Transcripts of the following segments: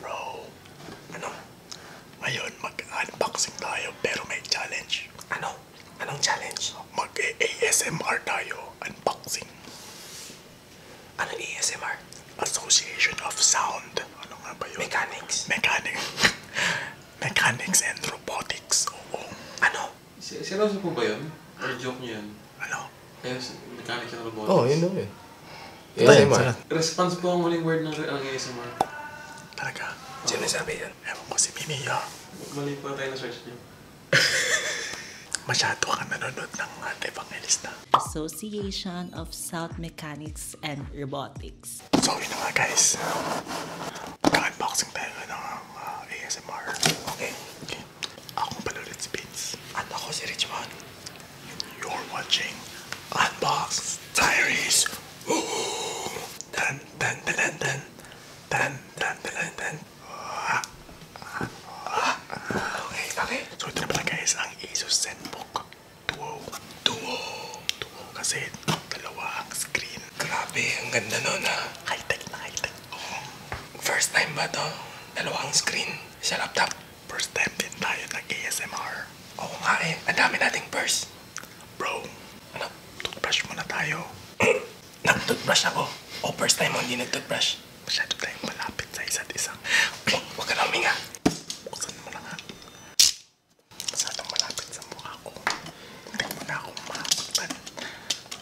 Bro, ano? Ngayon mag-unboxing tayo pero may challenge. Ano? Anong challenge? Mag-ASMR tayo. Unboxing. Ano ASMR? Association of Sound. Ano nga ba yun? Mechanics. Mechanics. Mechanics and Robotics. Oo. Ano? Si, seryoso po ba yun? Or joke niyo yun? Ano? Kaya mechanics and robotics? Oo, oh, yun daw eh. yun. ASMR. Response po ang huling word ng, ng ASMR. Talaga? Oh. Sino sabi yan? Ewan ko si Mimi yun. Mali po tayo na search niyo. Masyado ka nanonood ng ah, Evangelista. Association of South Mechanics and Robotics. So yun na nga guys. Mag-unboxing tayo ano, ng uh, ah, ASMR. Okay. okay. Ako pala rin si and i ako si Rich Man. You're watching Unbox Diaries. Woo! Tan tan tan tan tan. Tan tan Okay, okay. So ito na guys ang Asus ZenBook Duo. Duo. Duo kasi dalawa ang screen. Grabe, ang ganda nun ha. Ah. high na high-tech. First time ba to? Dalawang screen sa laptop. First time din tayo nag-ASMR. Oo nga eh. Ang dami nating purse. Bro, ano? Toothbrush muna tayo. Nag-toothbrush ako. O oh, first time mo hindi nag-toothbrush. Masyado tayong malapit sa isa't isa. Huwag oh, ka na huminga. Buksan mo na nga. Masyadong malapit sa mukha ko. Hindi mo na akong makapagtan.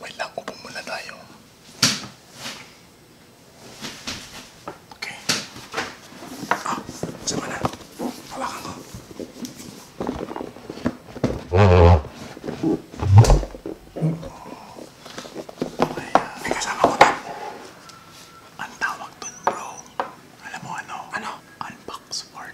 Wait lang, upo muna tayo. Okay. Ah, sama na. Hawakan ko. Okay, ah, may kasama ko doon. Ang tawag doon, bro. Alam mo ano? Ano? Unbox for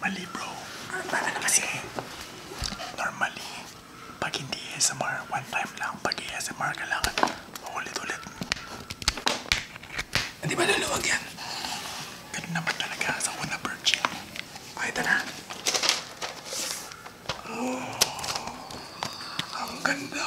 Mali bro. Ano kasi, normally, pag hindi ASMR, one time lang. Pag ASMR, kailangan ulit-ulit. Hindi ba luluwag yan? Ganun naman talaga sa una virgin. Okay, ito na. Oh, ang ganda.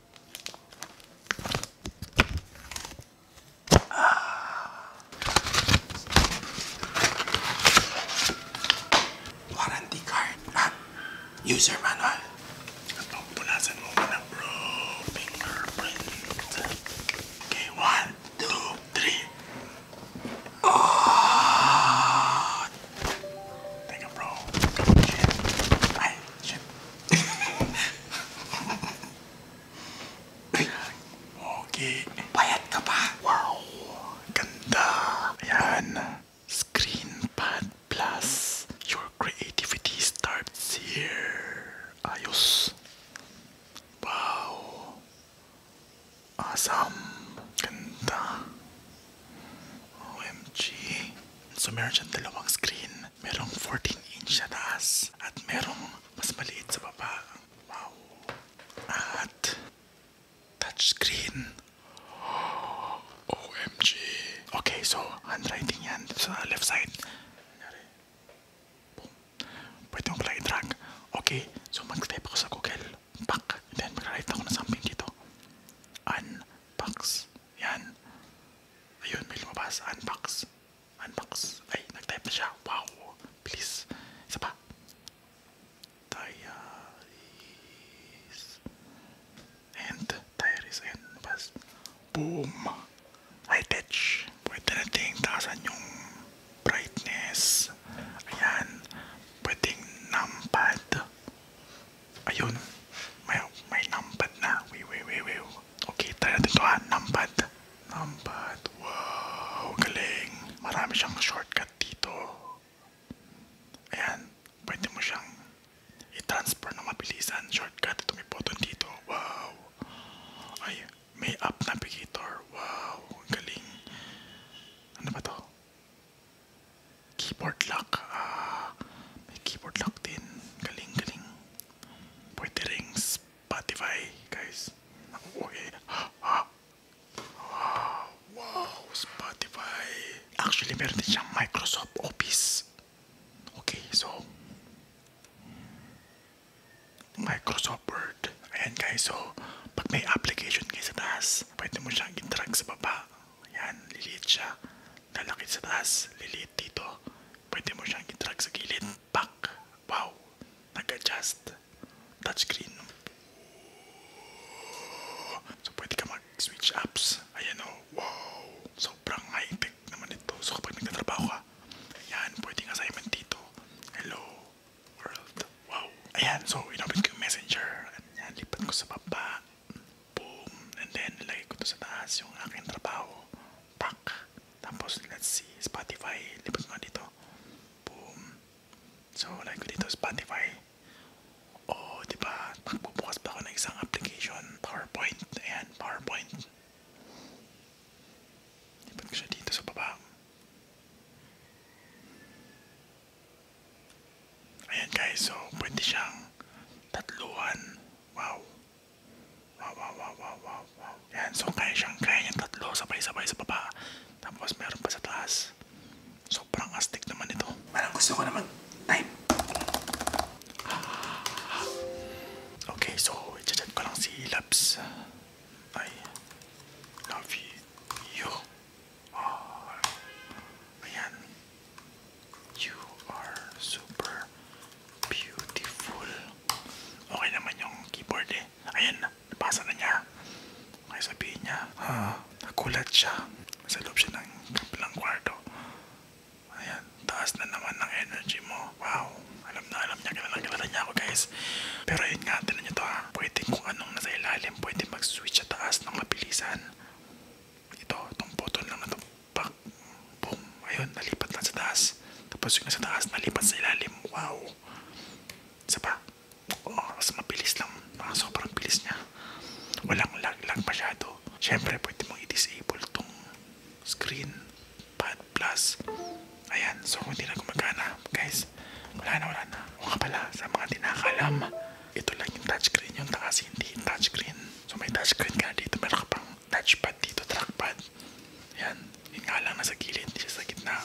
Warranty card user manual. Pupunasan mo Fingerprint. Okay, one, two, three. Oh, Take a okay. Bayad ka ba? Wow. Ganda. Ayan. Screenpad Plus. Your creativity starts here. Ayos. Wow. Awesome. Ganda. OMG. So meron siyang dalawang screen. Merong 14 inch sa taas at merong mas maliit sa baba. Wow. At touchscreen. OMG. Okay, so handwriting yan sa left side. Boom. Pwede mo pala i-drag. Okay, so mag-type ako sa Google pack. And then maglalagay ako ng something dito. Unbox. Yan. Ayun, may lumabas. Unbox. Unbox. Ay, nag-type na siya. Wow. Please. Isa pa. Diaries. And diaries. Ayan, lumabas. Boom. High touch. Pwede nating taasan yung brightness. Ayan. Pwedeng numpad. Ayun. May, may numpad na. Wait, wait, wait, wait. Okay, try natin ito ha. Numpad. Numpad. Wow, galing. Marami siyang shortcut dito. Ayan. Pwede mo siyang i-transfer na mabilisan. Shortcut. Ito may button dito. Wow. Ay, may app navigator. Wow, galing. Ano ba to? Keyboard lock. Ah, keyboard lock din. Galing, Play Pwede ring Spotify, guys. Okay. Ah, ah, ah, wow, Spotify. Actually, meron din siyang Microsoft Office. Okay, so... Microsoft Word. Ayan guys, so pag may application kayo sa taas, pwede mo siyang i-drag sa baba. Ayan, liliit siya. Lalaki sa taas, liliit dito. Pwede mo siyang i-drag sa gilid. Back. Wow. Nag-adjust. Touchscreen. So, pwede ka mag-switch apps. Ayan o. Oh. Wow. Sobrang high-tech naman ito. So, kapag nagtatrabaho ka, ayan, pwedeng assignment dito. Hello world. Wow. Ayan, so inopit ko yung messenger. At yan, lipat ko sa baba. Boom. And then, nilagay ko to sa taas yung aking trabaho. Pak. Tapos, let's see, Spotify. Lipat ko nga dito. Boom. So, like ko dito, Spotify. O, oh, diba, magbubukas pa ako ng isang application. PowerPoint. Ayan, PowerPoint. Lipat ko siya dito sa baba. Ayan guys, so pwede siyang tatluhan. Wow. Wow, wow, wow, wow, wow, wow. so kaya siyang, kaya niyang tatlo, sabay-sabay sa baba. Tapos meron pa sa taas. Sobrang astig naman ito. Parang gusto ko naman time. Okay, so i-chat ko lang si Labs. I love you. You are ayan. You are super beautiful. Okay naman yung keyboard eh. Ayan, nabasa na niya. Okay, sabihin niya, ha, nakulat siya. Sa loob siya ng kapilang kwarto. Ayan, taas na naman ng energy mo. Wow, alam na alam niya, kilala kilala niya ako guys. Pero yun nga, tinan niyo to ha. Pwede kung anong nasa ilalim, pwede mag-switch sa taas ng mabilisan. Ito, itong button lang na ito. Pak, boom. Ayun, nalipat lang sa taas. Tapos yung nasa taas, nalipat sa ilalim. Wow. Isa pa. Oo, mas mabilis lang. Ah, sobrang bilis niya. Walang lag-lag masyado. Siyempre, pwede mong i-disable itong screen pad plus ayan so hindi na gumagana guys wala na wala na o nga pala sa mga tinakalam ito lang yung touchscreen yung taas hindi yung touchscreen so may touchscreen ka na dito meron ka pang touchpad dito trackpad ayan yun nga lang nasa gilid hindi siya sa gitna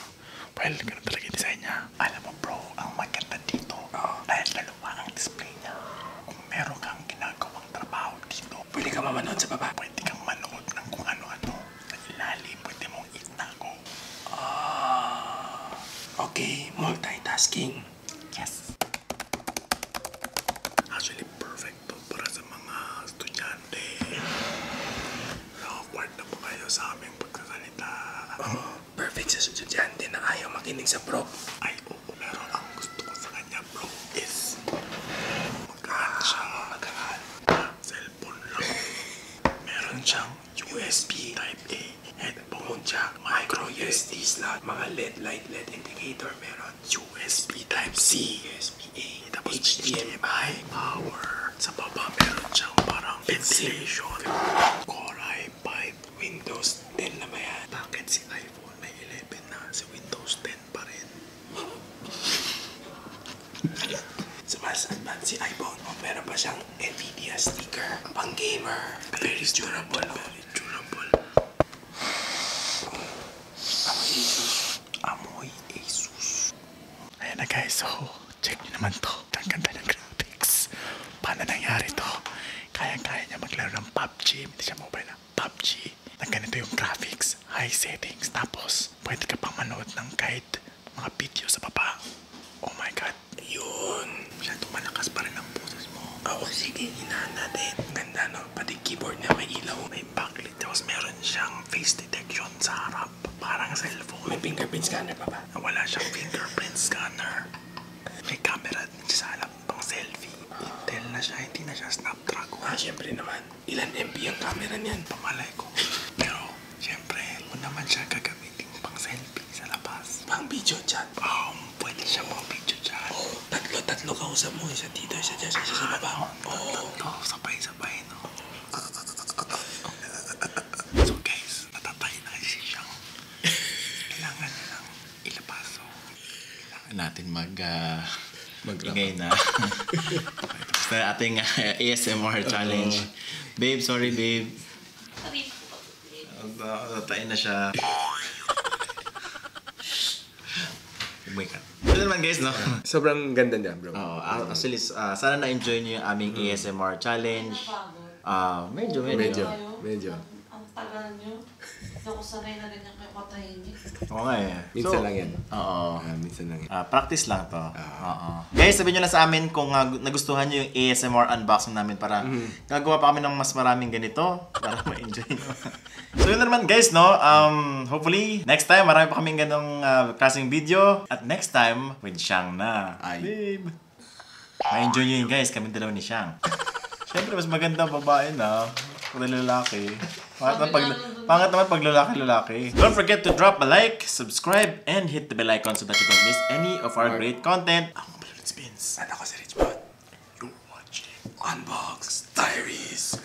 well ganun talaga yung design niya alam mo bro ang maganda dito uh, dahil laluwa ang display niya kung meron kang ginagawang trabaho dito pwede ka mamanood sa baba pwede kang manood ng kung ano-ano lalim pwede mong itago. Ah, okay, multitasking. Yes. Actually, perfect to para sa mga estudyante. Awkward na po kayo sa aming pagkakalita. Oh, perfect sa estudyante na ayaw makinig sa prop. Ay, oo, pero ang gusto ko sa kanya, bro, is Magkahan siyang naghangal cellphone lock. Meron siyang USB Type A, headphone jack, micro USB slot, mga LED light LED indicator meron, USB Type C, USB A, tapos HDMI, power. Sa baba meron siyang parang ventilation, Core i5, Windows 10 na ba yan? Bakit si iPhone may 11 na si Windows 10? rin pa rin. so, mas advanced si iPhone. Oh, meron pa siyang NVIDIA sticker. Pang gamer. Very, very durable. Very durable. Amoy Asus. Amoy Asus. Ayan na guys. So, check nyo naman to. Ang ganda ng graphics. Paano nangyari to? Kaya-kaya niya maglaro ng PUBG. Hindi siya mobile na PUBG na ganito yung graphics, high settings, tapos pwede ka pang manood ng kahit mga video sa baba. Oh my god, yun! Masyado malakas pa rin ang boses mo. Oo, oh, sige, hinahan natin. Ganda no, pati keyboard niya may ilaw, may backlit, tapos meron siyang face detection sa harap. Parang cellphone. May fingerprint scanner pa ba? Wala siyang fingerprint scanner. May camera sa harap pang selfie. Uh, Intel na siya, hindi na siya Snapdragon. Ah, syempre naman. Ilan MP ang camera niyan? Pamalay ko. Pero, syempre, mo naman siya gagamitin pang selfie sa labas. Pang video chat? Um, pwede siya pang video chat. Oo, oh, tatlo-tatlo kausap mo. Isa dito, isa dyan, isa sa baba. Oo. Oh, tatlo, sabay-sabay, no? So guys, natatay na kasi siyang kailangan nilang ilapaso. Kailangan natin mag... Uh, ah, Mag-ingay na. Tapos na ating uh, ah, ASMR challenge. Uh, babe, sorry babe. Sorry po, babe. Tatain na siya. Wake up. Ito naman guys, no? Sobrang ganda niya, bro. Oo, uh, actually, uh, sana na-enjoy niyo yung aming mm. ASMR challenge. Uh, medyo, medyo. Medyo, medyo ang tagal nyo. Hindi ako sanay na ganyan kayo patahimik. Oo nga eh. Minsan so, lang yan. Oo. Uh, minsan lang yan. Uh, practice lang to. Ah. Oo. Uh, uh, Guys, sabihin nyo na sa amin kung uh, nagustuhan nyo yung ASMR unboxing namin para mm-hmm. gagawa pa kami ng mas maraming ganito para ma-enjoy nyo. so yun na naman guys, no? Um, hopefully, next time marami pa kaming ganong uh, klaseng video. At next time, with Shang na. Ay. Babe! Ma-enjoy nyo yun guys, kami dalawa ni Shang. Siyempre, mas maganda babae na pag lalaki. Pangat naman pag, pangat naman pag lalaki, lalaki. Don't forget to drop a like, subscribe, and hit the bell icon so that you don't miss any of our great content. Ako Balloon Spins. At ako si Rich Bot. You're watching Unbox Diaries.